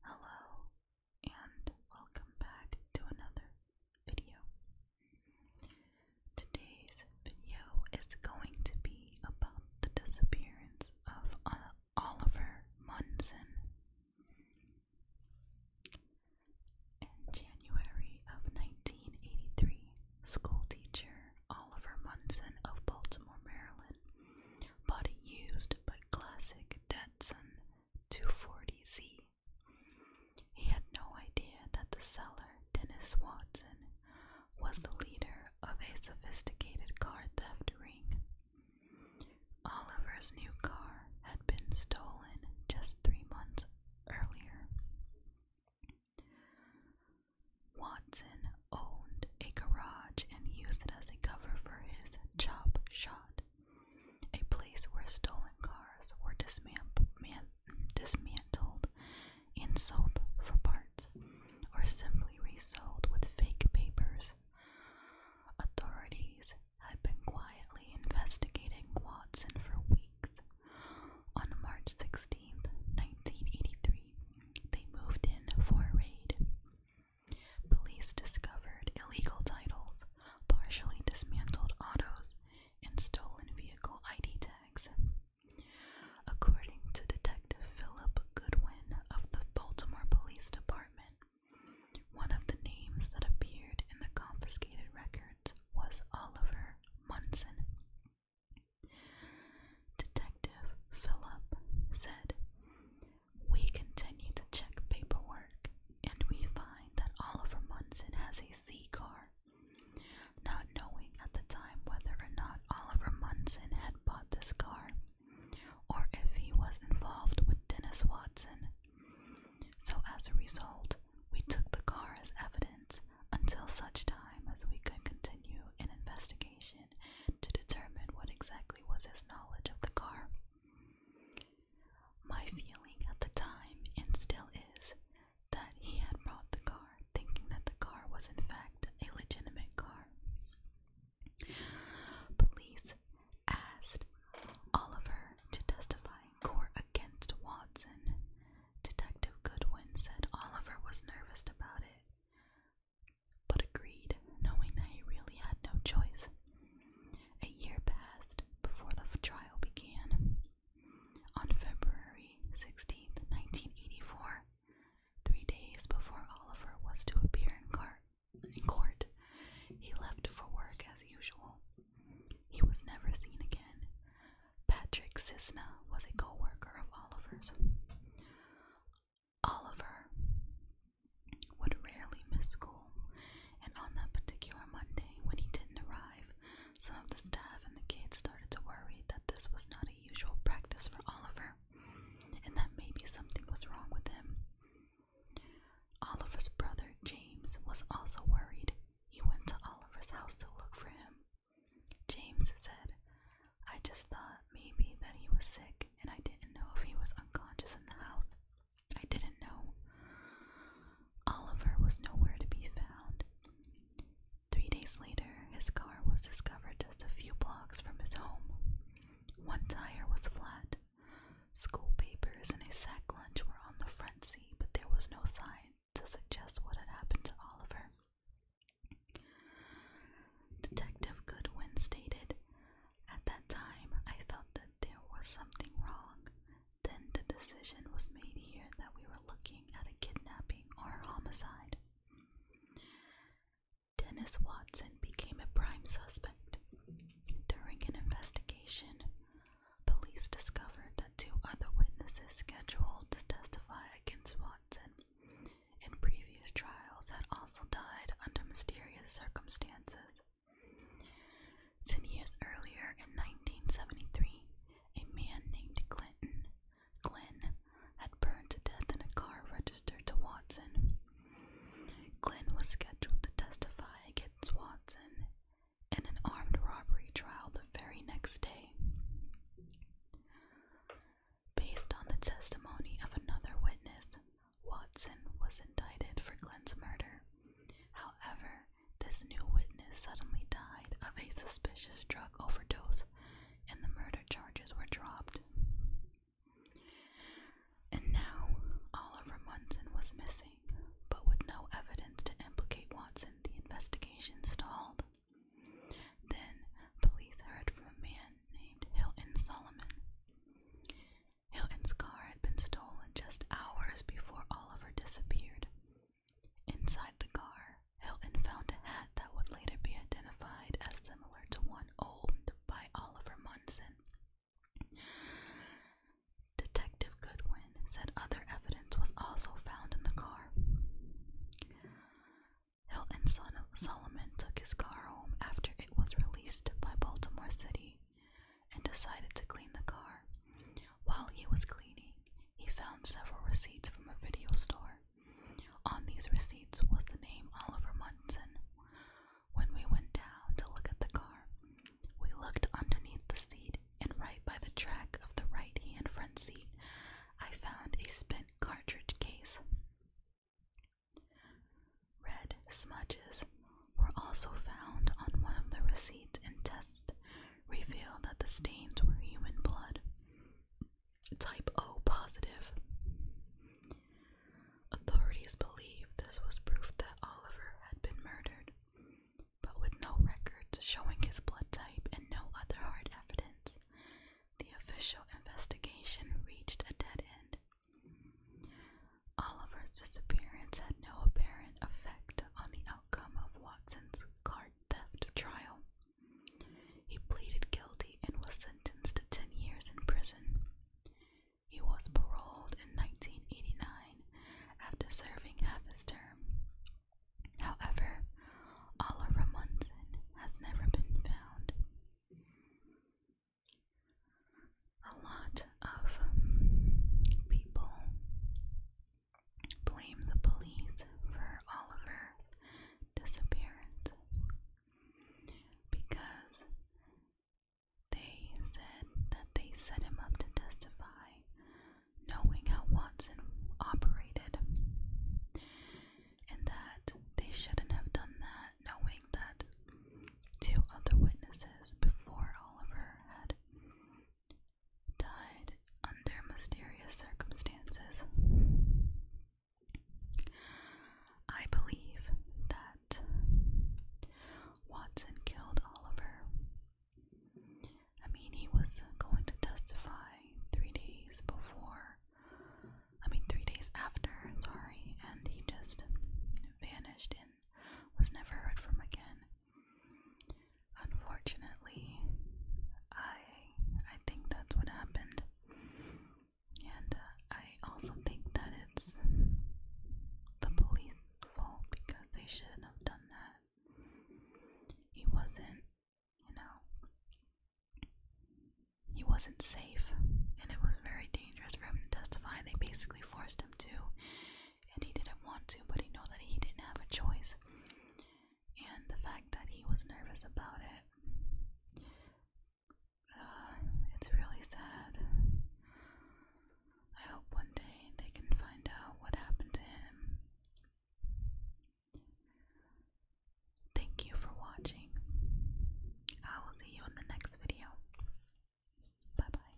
Hello, and welcome back to another video. Today's video is going to be about the disappearance of uh, Oliver Munson. In January of 1983, school teacher Oliver Munson of Baltimore, Maryland body used by classic Datsun 240Z. He had no idea that the seller, Dennis Watson, was the leader of a sophisticated car theft ring. Oliver's new car had been stolen just three months earlier. Watson owned a garage and used it as a cover for his chop shot, a place where stolen cars were dismantled and sold for parts, or simply resold with fake papers. Authorities had been quietly investigating Watson for weeks. On March sixteenth, 1983, they moved in for a raid. Police discovered illegal titles, partially dismantled autos, and stolen vehicle ID tags. According to Detective Philip Goodwin of the Baltimore Police Department, one of the names that appeared in the confiscated records was Oliver Munson. Detective Philip said, We continue to check paperwork and we find that Oliver Munson has a C car. Not knowing at the time whether or not Oliver Munson had bought this car or if he was involved with Dennis Watson. So, as a result, we took the car as evidence until such time as we could continue an investigation to determine what exactly was his knowledge of the car. My feeling at the time, and still is, that he had brought the car thinking that the car was in fact a legitimate car. Police asked Oliver to testify in court against Watson, Detective Goodwin said Oliver was nervous about it, but agreed, knowing that he really had no choice. A year passed before the trial began. On February 16, 1984, three days before Oliver was to appear in, in court, he left for work as usual. He was never seen again. Patrick Cisna was a co worker of Oliver's. Oliver would rarely miss school, and on that particular Monday, when he didn't arrive, some of the staff and the kids started to worry that this was not a usual practice for Oliver, and that maybe something was wrong with him. Oliver's brother James was also worried, he went to Oliver's house to look for him. James said, I just thought maybe that he was sick and I didn't know if he was unconscious in the house. I didn't know. Oliver was nowhere to be found. Three days later, his car was discovered just a few blocks from his home. One tire was flat, School papers and a sack lunch were on the front seat, but there was no sign to suggest what had happened to Oliver. Detective Goodwin stated, At that time, I felt that there was something wrong. Then the decision was made here that we were looking at a kidnapping or homicide. Dennis Watson became a prime suspect. During an investigation, Police discovered that two other witnesses scheduled to testify against Watson in previous trials had also died under mysterious circumstances. Ten years earlier, in 1973, a man named Clinton Glenn had burned to death in a car registered to Watson. Glenn was scheduled to testify against Watson in an armed robbery trial the very next day. Based on the testimony of another witness, Watson was indicted for Glenn's murder. However, this new witness suddenly died of a suspicious drug overdose, and the murder charges were dropped. And now, Oliver Munson was missing, but with no evidence to implicate Watson, the investigation stalled. Then, police heard from a man named Hilton Solomon. Hilton's car had been stolen just hours before Oliver disappeared. Inside the car, Hilton found a hat that would later be identified as similar to one owned by Oliver Munson. Detective Goodwin said other evidence was also found in the car. Hilton Solomon took his car home after it was released by Baltimore City and decided to clean the car. While he was cleaning, he found several receipts from a video store on these receipts was the name Oliver Munson. When we went down to look at the car, we looked underneath the seat, and right by the track of the right hand front seat, I found a spent cartridge case. Red smudges were also found on one of the receipts, and tests revealed that the stains were human blood. Type O positive. Authorities believe this was proof that Oliver had been murdered, but with no records showing his blood type and no other hard evidence, the official investigation reached a dead end. Oliver's disappearance had no apparent effect on the outcome of Watson's card theft trial, he pleaded guilty and was sentenced to 10 years in prison. He was paroled in 1989 after serving half his term. However, Oliver Monson has never been found. A lot of people blame the police for Oliver Disappeared because they said that they set him up to testify, knowing how Watson operated, and that they shouldn't have done that, knowing that two other witnesses before Oliver had died under mysterious circumstances. I believe that Watson killed Oliver. I mean, he was going to testify three days before, I mean, three days after, sorry, and he just vanished and was never heard from again. Unfortunately, I I think that's what happened. And uh, I also think that it's the police' fault because they shouldn't have done that. He wasn't, you know, he wasn't safe, and it was very dangerous for him to testify. They basically forced him to, and he didn't want to, but he knew that he didn't have a choice. And the fact that he was nervous about it, uh, it's really sad. I hope one day they can find out what happened to him. Thank you for watching. I will see you in the next video. Bye bye.